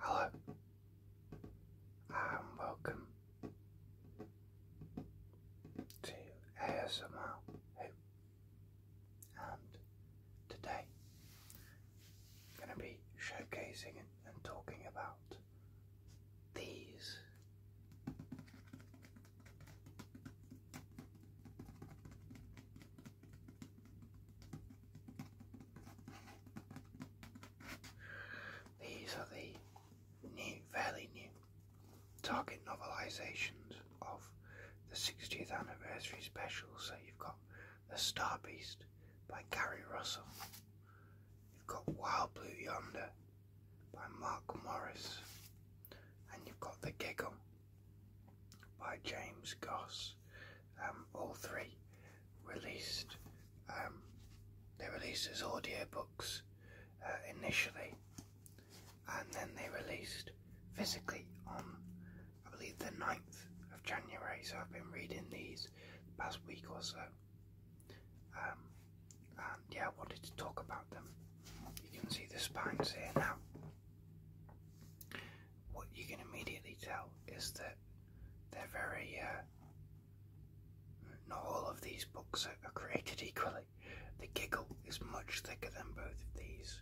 Hello um, welcome to ASMR Who and today I'm going to be showcasing and talking about these. These are the new, fairly new target novelizations of the 60th anniversary special. So you've got The Star Beast by Gary Russell, you've got Wild Blue Yonder by Mark Morris, and you've got The Giggle by James Goss. Um, all three released. Um, they released as audio books uh, initially, and then they released physically on, I believe, the 9th of January. So I've been reading these past week or so. Um, and yeah, I wanted to talk about them. You can see the spines here now what you can immediately tell is that they're very, uh, not all of these books are, created equally. The Giggle is much thicker than both of these.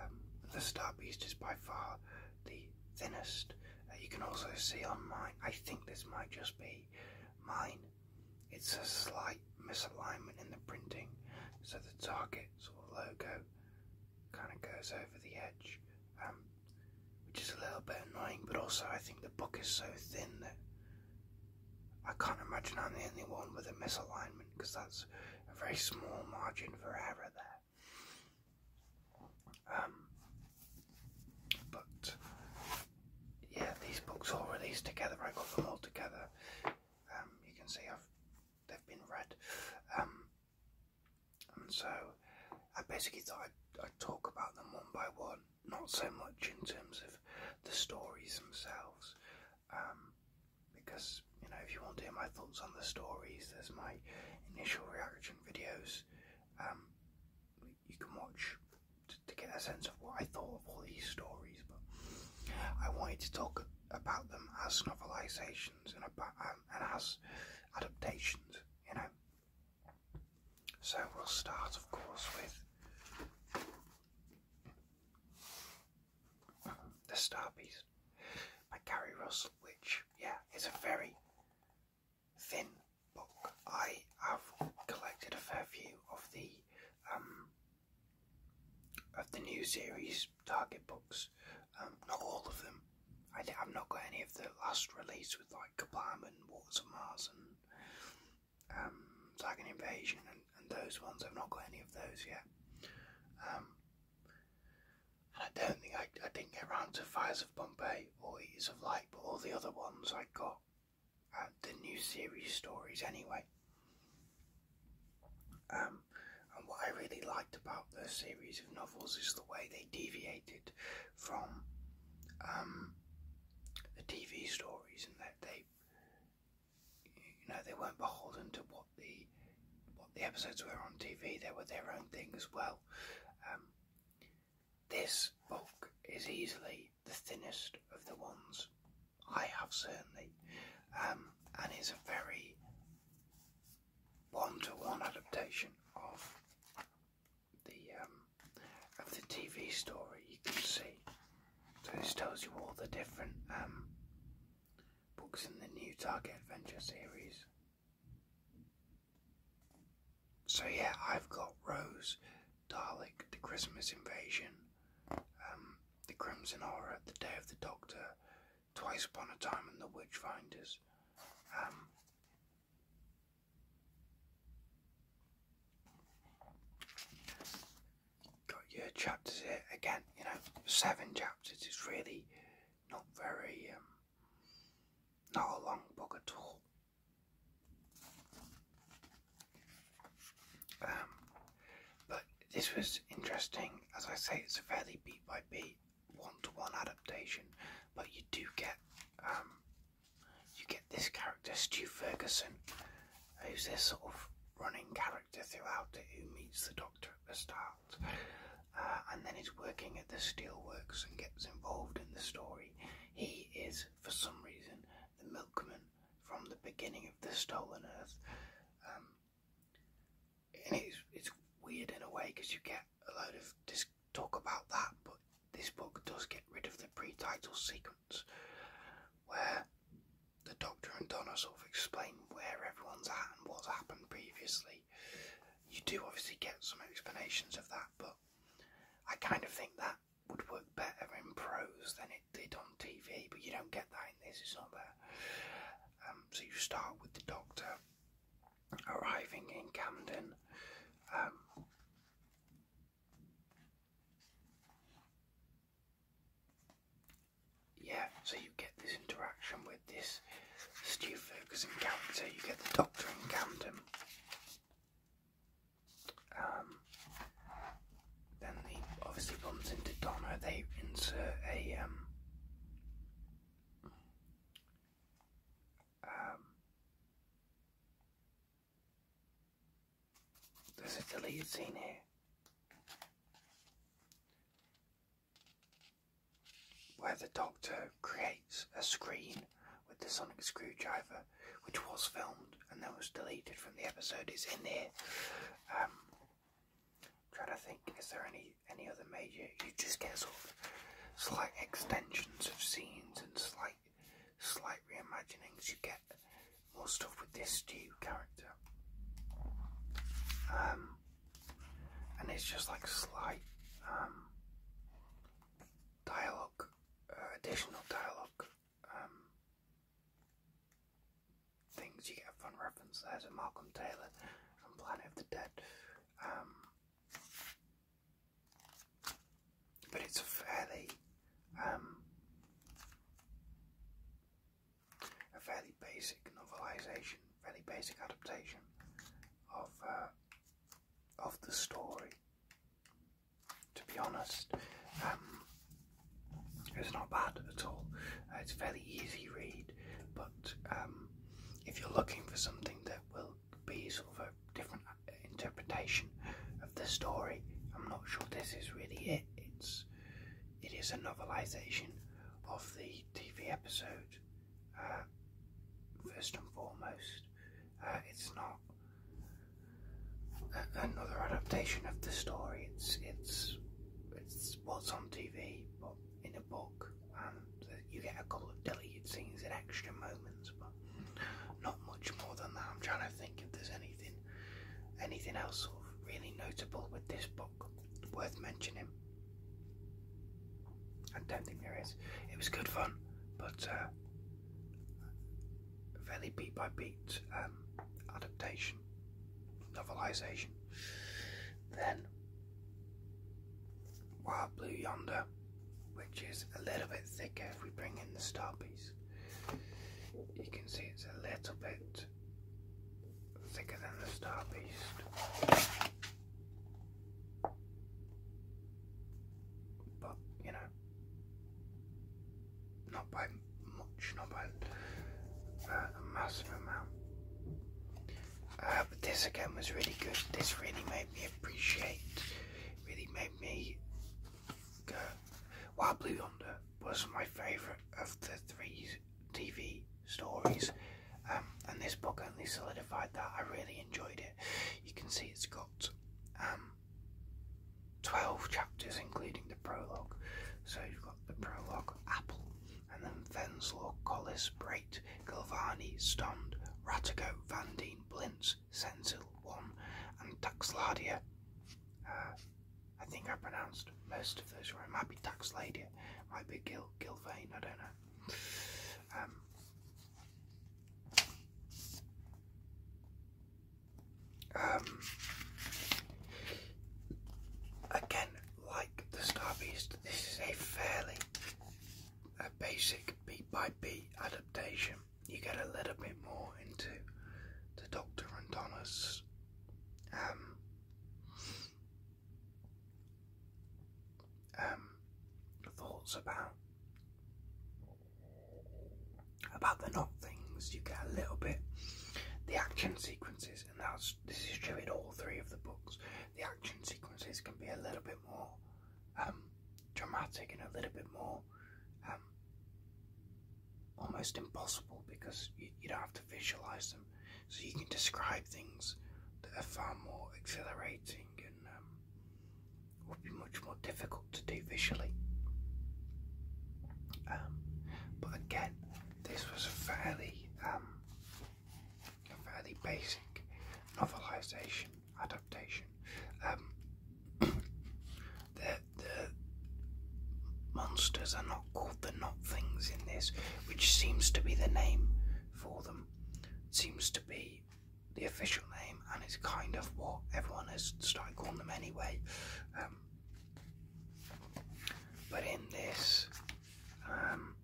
Um, the Star Beast is by far the thinnest. Uh, you can also see on mine, I think this might just be mine, it's a slight misalignment in the printing. So the targets sort logo kind of goes over the edge, um, which is a little bit annoying. But also, I think the book is so thin that I can't imagine I'm the only one with a misalignment because that's a very small margin for error there. Um, but yeah, these books all released together. I got them all together. Um, you can see I've they've been read. Um, and so I basically thought I'd, talk about them one by one, not so much in terms of the stories themselves, um, because you know if you want to hear my thoughts on the stories, there's my initial reaction videos. Um, you can watch to, to get a sense of what I thought of all these stories. But I wanted to talk about them as novelizations and about um, and as adaptations, you know. So we'll start, of course, with the Star Piece by Gary Russell, which, yeah, is a very thin book. I have collected a fair view of the um, of the new series Target books. Um, not all of them. I have not got any of the last release with like Kablam and Waters of Mars and um, Dragon Invasion and, and those ones. I've not got any of those yet. Um, I don't think I, I didn't get round to Fires of Bombay or Eaters of Light, but all the other ones I got uh, the new series stories anyway. Um, and what I really liked about the series of novels is the way they deviated from um, the TV stories, and that they, you know, they weren't beholden to what the what the episodes were on TV. They were their own thing as well. Um, this book is easily the thinnest of the ones I have certainly, um, and it's a very one-to-one -one adaptation of the um, of the TV story. You can see, so this tells you all the different um, books in the new Target Adventure series. So yeah, I've got Rose, Dalek, The Christmas Invasion, um, the Crimson Horror, The Day of the Doctor, Twice Upon a Time, and The Witchfinders. Um, got your chapters here again. You know, seven chapters is really not very, um, not a long book at all. Um, but this was interesting. As I say, it's a fairly beat by beat, one to one adaptation, but you do get um, you get this character, Stu Ferguson, who's this sort of running character throughout it, who meets the Doctor at the start, uh, and then is working at the steelworks and gets involved in the story. He is, for some reason, the milkman from the beginning of the Stolen Earth. Um, and it's, weird in a way because you get a load of this talk about that, but this book does get rid of the pre-title sequence where the Doctor and Donna sort of explain where everyone's at and what's happened previously. You do obviously get some explanations of that, but I kind of think that would work better in prose than it did on TV, but you don't get that in this, it's not there. Um, so you start with the doctor arriving in Camden. Um, yeah, so you get this interaction with this Stu Ferguson character, you get the doctor in Camden. Um, then he obviously bumps into Donna. They insert a um, um there's a deleted scene here. Where the doctor creates a screen with the sonic screwdriver, which was filmed and then was deleted from the episode, is in here. Um, trying to think, is there any any other major? You just get sort of slight extensions of scenes and slight slight reimaginings. You get more stuff with this Stew character, um, and it's just like slight um, dialogue, uh, additional dialogue. Um, things. You get a fun reference there a Malcolm Taylor and Planet of the Dead. Um, but it's a fairly, um, a fairly basic novelisation, fairly basic adaptation of uh, of the story to be honest. Um, it's not bad at all. Uh, it's fairly easy read, but um, if you're looking for something that will be sort of a different interpretation of the story, I'm not sure this is really it. It's it is a novelization of the TV episode. Uh, first and foremost, uh, it's not another adaptation of the story. It's it's it's what's on TV, but in a book, and you get a couple of deleted scenes and extra moments, but not much more than that. I'm trying to think if there's anything anything else of really notable with this book worth mentioning. I don't think there is. It was good fun, but uh, fairly beat by beat um, adaptation, novelization. Then Wild Blue Yonder, which is a little bit thicker if we bring in the star Beast, You can see it's a little bit thicker than the star Beast. But, you know, not by much, not by uh, a massive amount. Uh, but this again was really good. This really made me appreciate, really made me Wild Blue Yonder was my favourite of the three TV stories. Um, and this book only solidified that. I really enjoyed it. You can see it's got um, 12 chapters, including the prologue. So you've got the prologue, Apple, and then Venslaw, Collis, Brait, Galvani, Stond, Ratigo, Vandine, Blintz, Sensil, One, and Taxladia. Uh, I think I pronounced most of those it Might be Taxladia, might be Gil Gilvain, I don't know. Um, um, again, like the Star Beast, this is a fairly basic beat by beat adaptation. You get a little bit more into the Doctor and Donna's um, um, thoughts about about the not things. You get a little bit the action sequences, and that's this is true in all three of the books. The action sequences can be a little bit more um, dramatic and a little bit more um, almost impossible because you, don't have to visualize them, so you can describe things that are far more exhilarating and um, would be much more difficult to do visually. Um, but again, this was a fairly, um, fairly basic novelisation adaptation. Um, the, the monsters are not called the not things in this, which seems to be the name for them. seems to be the official name and it's kind of what everyone has started calling them anyway. Um, but in this, um,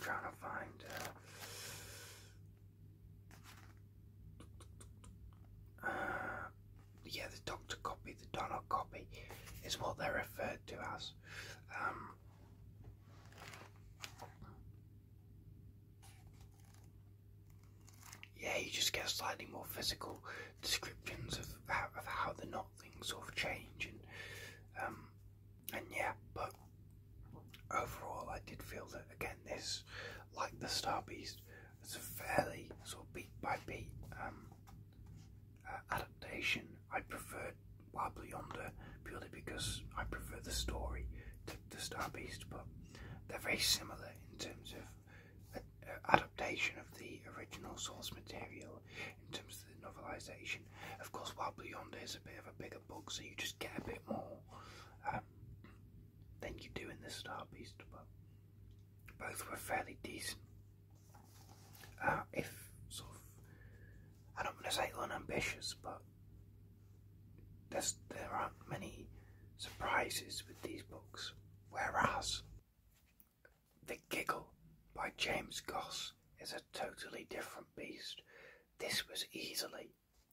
trying to find. Uh, uh, yeah, the doctor copy, the Donald copy, is what they're referred to as. Um, yeah, you just get slightly more physical descriptions of how, the knot things sort of change um, and yeah, but overall, I did feel that again this, like the Star Beast, it's a fairly sort of beat by beat um, adaptation. I prefer Wabble Yonder purely because I prefer the story to, to Star Beast, but they're very similar in terms of adaptation of the original source material, in terms of the novelisation. Of course, Wabble Yonder is a bit of a bigger book, so you just get a bit more um, than you do in the Star Beast, but both were fairly decent. Ah, if sort of, I don't want to say unambitious, but there's, there aren't many surprises with these books. Whereas The Giggle by James Goss is a totally different beast. This was easily,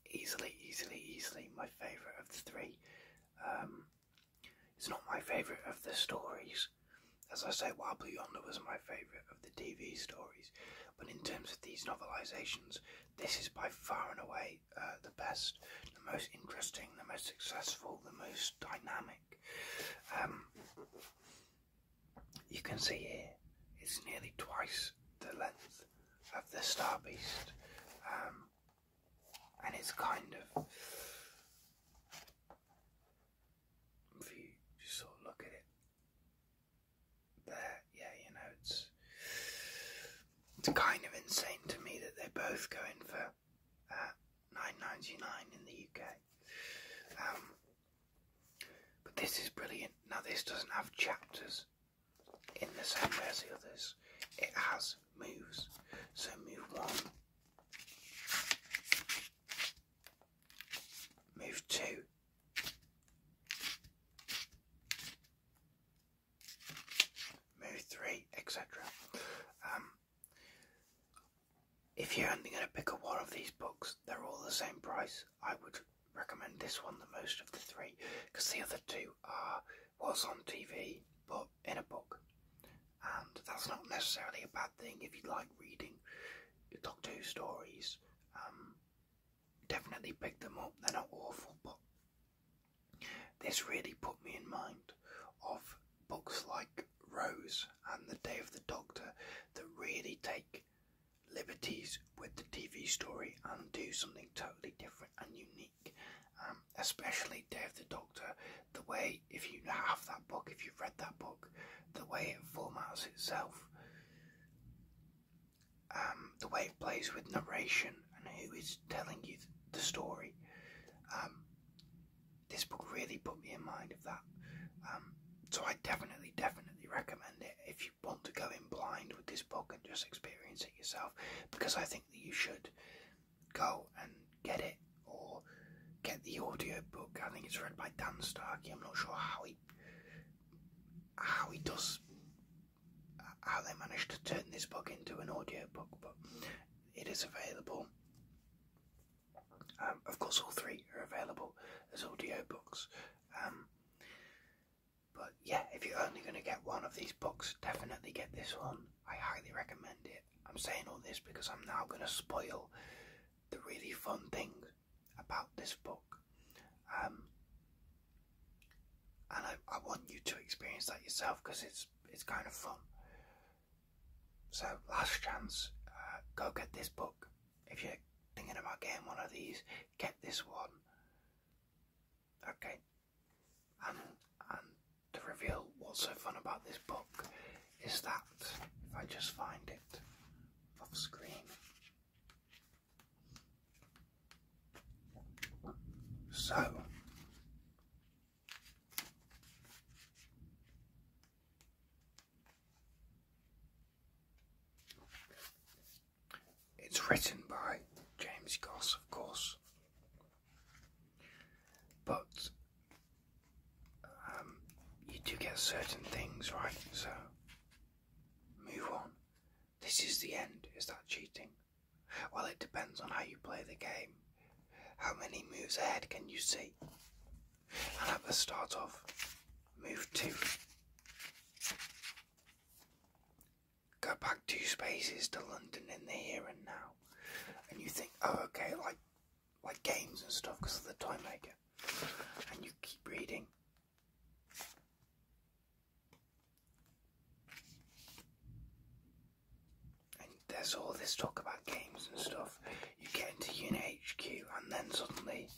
easily, easily, easily my favourite of the three. Um, it's not my favourite of the stories, as I say, Wobbly Yonder was my favourite of the TV stories, but in terms of these novelisations, this is by far and away uh, the best, the most interesting, the most successful, the most dynamic. Um, you can see here, it's nearly twice the length of the Star Beast, um, and it's kind of if you just sort of look at it there, yeah, you know, it's it's kind of insane to me that they're both going for uh, 9.99 in the UK. Um, but this is brilliant. Now this doesn't have chapters in the same way as the others. It has moves. So move one Move two. Move three, etc. Um, if you're only going to pick up one of these books, they're all the same price. I would recommend this one the most of the three because the other two are what's on TV but in a book and that's not necessarily a bad thing if you like reading Doctor Who stories. Um, definitely pick them up, they're not awful, but this really put me in mind of books like Rose and The Day of the Doctor that really take liberties with the TV story and do something totally different and unique. Um, especially Day of the Doctor the way if you have that book, if you've read that book, the way it formats itself, um, the way it plays with narration and who is telling you the story. Um, this book really put me in mind of that. Um, so I definitely, definitely recommend it if you want to go in blind with this book and just experience it yourself, because I think that you should go and get it or get the audio book. I think it's read by Dan Starkey. I'm not sure how he how he does how they managed to turn this book into an audio book, but it is available. Um, of course, all three are available as audio books. Um, but yeah, if you're only going to get one of these books, definitely get this one. I highly recommend it. I'm saying all this because I'm now going to spoil the really fun thing about this book. Um, and I, I want you to experience that yourself because it's it's kind of fun. So last chance, uh, go get this book. If you're thinking about getting one of these, get this one. Okay, and and to reveal what's so fun about this book is that if I just find it off screen. So it's written by James Goss, of course, but um, you do get certain things, right? So move on. This is the end. Is that cheating? Well, it depends on how you play the game. How many moves ahead can you see? And at the start of move two, go back two spaces to London in the here and now. And you think, oh, okay, like like games and stuff because of the time maker, and you keep reading. And there's all this talk about games and stuff. You get into UNHQ, and then suddenly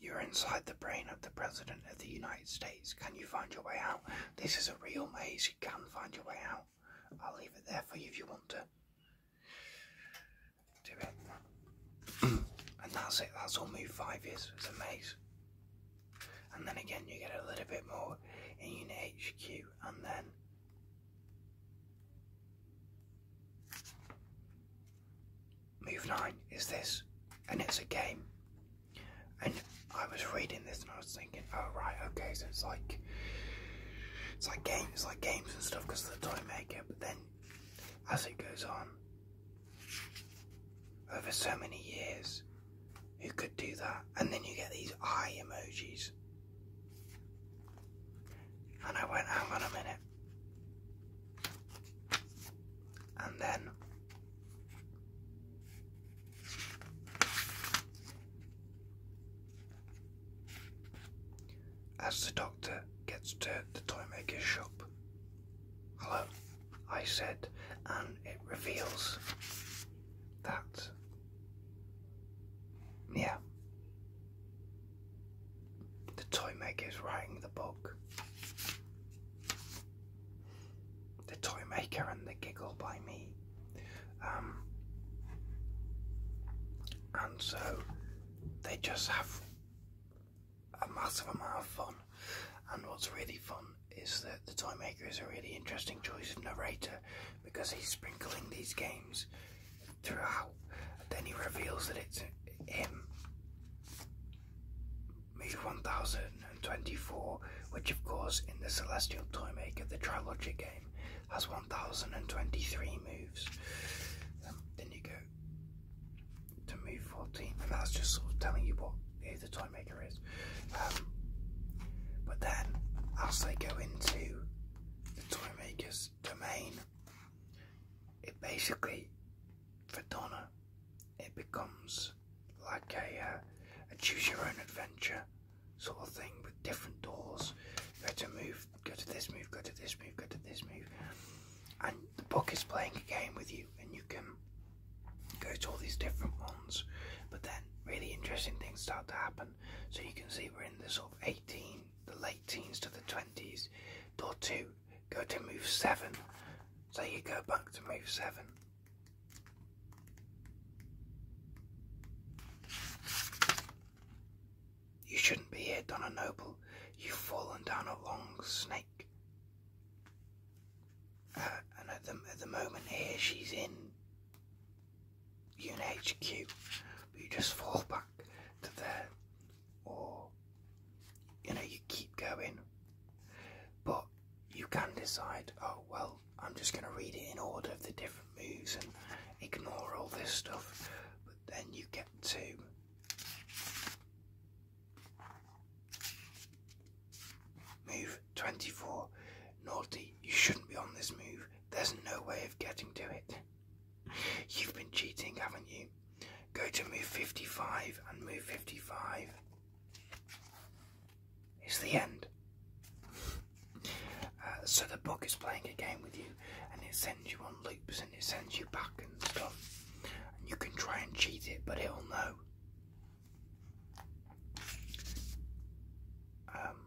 you're inside the brain of the President of the United States. Can you find your way out? This is a real maze. You can find your way out. I'll leave it there for you if you want to. Do it. and that's it, that's all move five years. It's a maze. And then again, you get a little bit more in Unit HQ, and then. Move 9 is this, and it's a game. And I was reading this and I was thinking oh right, okay, so it's like it's like games, like games and stuff because the toy maker. But then, as it goes on, over so many years, who could do that? And then you get these eye emojis, and I went, hang on a minute. And then as the doctor gets to the toy maker's shop, hello, I said, and it reveals that, yeah, the maker is writing the book. The Toy Maker and the Giggle by Me um, and so they just have a massive amount of fun. And what's really fun is that the Time Maker is a really interesting choice of narrator because he's sprinkling these games throughout. And then he reveals that it's him. Move 1024, which of course in the Celestial Time Maker, the Trilogic has 1023 moves. Um, then you go to move 14, and that's just sort of telling you what the time maker is. Um, but then, as they go into the time maker's domain, it basically, for Donna, it becomes like a uh, choose your own adventure sort of thing with different doors. Go to move, go to this move, go to this move, go to this move. And the book is playing a game with you, and you can go to all these different ones. But then really interesting things start to happen. So you can see we're in the sort of 18, the late teens to the 20s. Door 2, go to move 7. So you go back to move 7. You shouldn't be here, Donna Noble. You've fallen down a long snake. Uh, and at the, at the moment here, she's in UNHQ. But you just fall back to there. Or, you know, you keep going. But you can decide, oh, well, I'm just going to read it in order of the different moves and ignore all this stuff. But then you get to move 24. Naughty, you shouldn't be on this move. There's no way of getting to it. You've been cheating, haven't you? Go to move 55 and move 55. It's the end. Uh, so the book is playing a game with you and it sends you on loops and it sends you back and stuff. And you can try and cheat it, but it'll know. Um,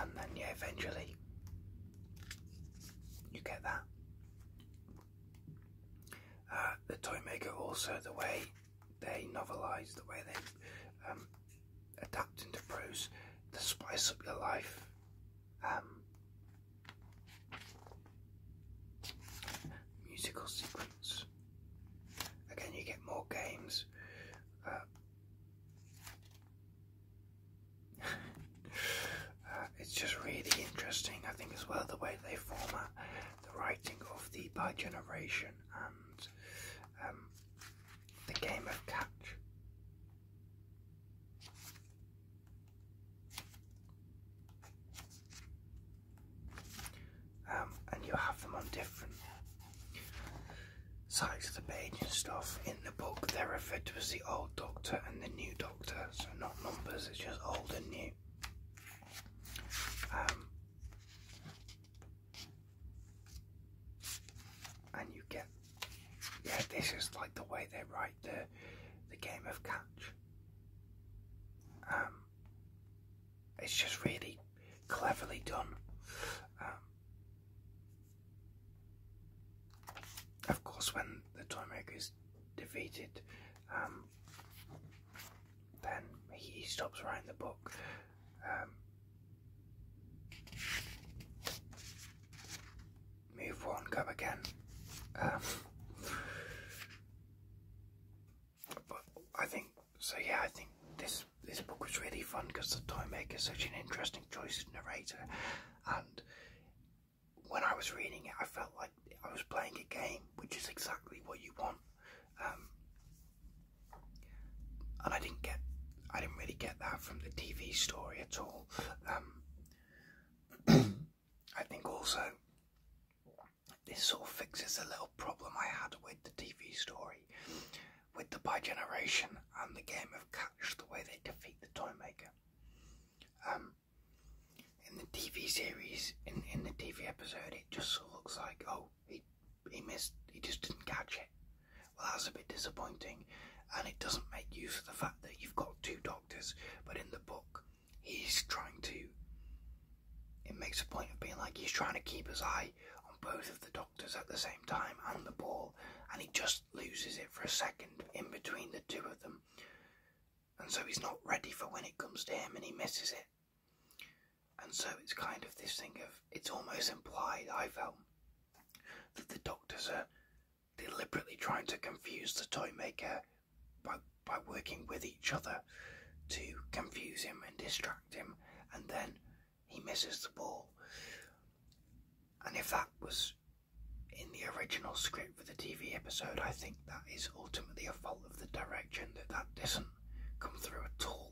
and then, yeah, eventually you get that. Uh, the toy maker also the way they novelise, the way they um, adapt into prose to spice up your life. Um, musical sequence. Again, you get more games. Uh, it's just really interesting, I think, as well, the way they format the writing of the by generation and um, the game of catch. Um, and you have them on different sides of the page and stuff. In the book, they're referred to as the old doctor and the new doctor, so not numbers, it's just old and new. Um, and you get yeah this is like the way they write the the game of catch um it's just really cleverly done um, of course when the toy maker is defeated um then he stops writing the book move um, one, go again. Um, I think so. Yeah, I think this this book was really fun because the toy maker is such an interesting choice narrator, and when I was reading it, I felt like I was playing a game, which is exactly what you want. Um, and I didn't get, I didn't really get that from the TV story at all. Um, I think also this sort of fixes a little problem I had with the TV story, with the by generation and the game of catch, the way they defeat the Toymaker. Um, in the TV series, in in the TV episode, it just looks like oh he he missed. He just didn't catch it. Well, that's a bit disappointing, and it doesn't make use of the fact that you've got two doctors. But in the book, he's trying to. It makes a point of being like he's trying to keep his eye on both of the doctors at the same time and the ball, and he just loses it for a second in between the two of them. And so he's not ready for when it comes to him and he misses it. And so it's kind of this thing of it's almost implied, I felt, that the doctors are deliberately trying to confuse the toy maker by, by working with each other to confuse him and distract him, and then he misses the ball. And if that was in the original script for the TV episode, I think that is ultimately a fault of the direction that that doesn't come through at all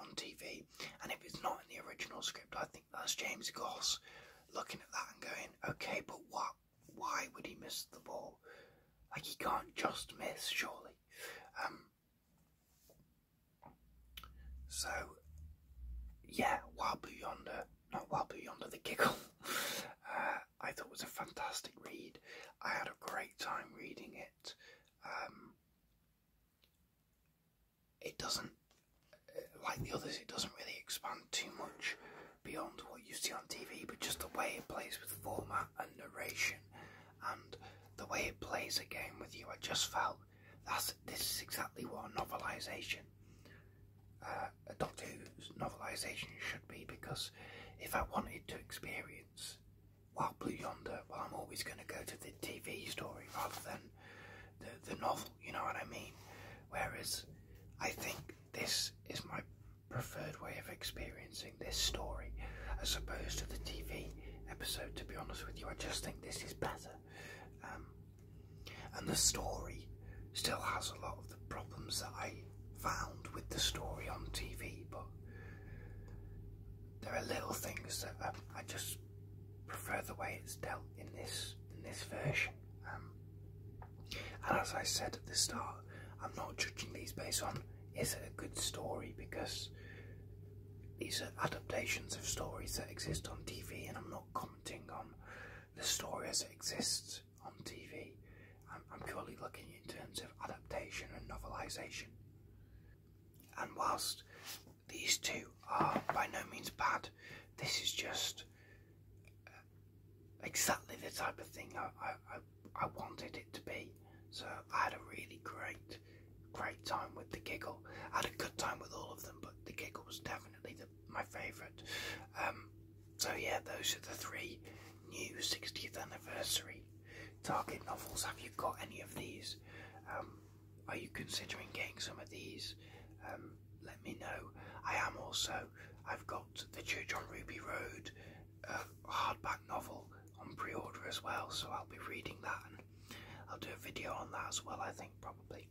on TV. And if it's not in the original script, I think that's James Goss looking at that and going, okay, but what? Why would he miss the ball? Like he can't just miss, surely. Um, so, yeah, Wabu Yonder, not Wabu Yonder, the giggle. Uh, I thought was a fantastic read. I had a great time reading it. Um, it doesn't, uh, like the others, it doesn't really expand too much beyond what you see on TV, but just the way it plays with format and narration and the way it plays a game with you, I just felt that this is exactly what a novelization, uh, a Doctor Who's novelization should be. Because if I wanted to experience while Blue Yonder, well, I'm always going to go to the TV story rather than the, the novel, you know what I mean? Whereas I think this is my preferred way of experiencing this story as opposed to the TV episode, to be honest with you. I just think this is better. Um, and the story still has a lot of the problems that I found with the story on TV, but there are little things that um, I, just prefer the way it's dealt in this in this version. Um, and as I said at the start, I'm not judging these based on is it a good story because these are adaptations of stories that exist on TV, and I'm not commenting on the story as it exists on TV. I'm, i purely looking in terms of adaptation and novelisation. And whilst these two are by no means bad, this is just uh, exactly the type of thing I, I, wanted it to be. So I had a really great, great time with the giggle. I had a good time with all of them, but the giggle was definitely my favourite. Um, so yeah, those are the three new 60th anniversary Target novels, have you got any of these? Um, are you considering getting some of these? Um, let me know. I am also, I've got The Church on Ruby Road, a hardback novel on pre order as well, so I'll be reading that I'll do a video on that as well, I think, probably.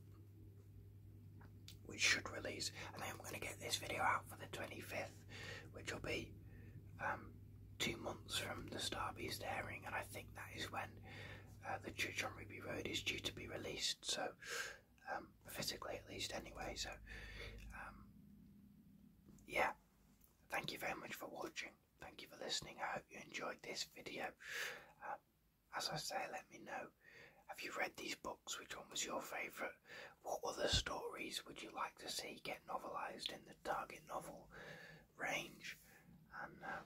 Which should release, and then I'm going to get this video out for the 25th which will be um, two months from the Starbeast airing, and I think that is when uh, the Church on Ruby Road is due to be released. So, um, physically at least, anyway. So, um, yeah. Thank you very much for watching. Thank you for listening. I hope you enjoyed this video. Uh, as I say, let me know. Have you read these books? Which one was your favourite? What other stories would you like to see get novelised in the target novel range? And uh,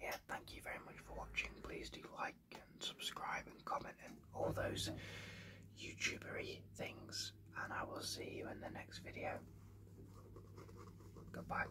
yeah, thank you very much for watching. Please do like and subscribe and comment and all those YouTubery things. And I will see you in the next video. Goodbye.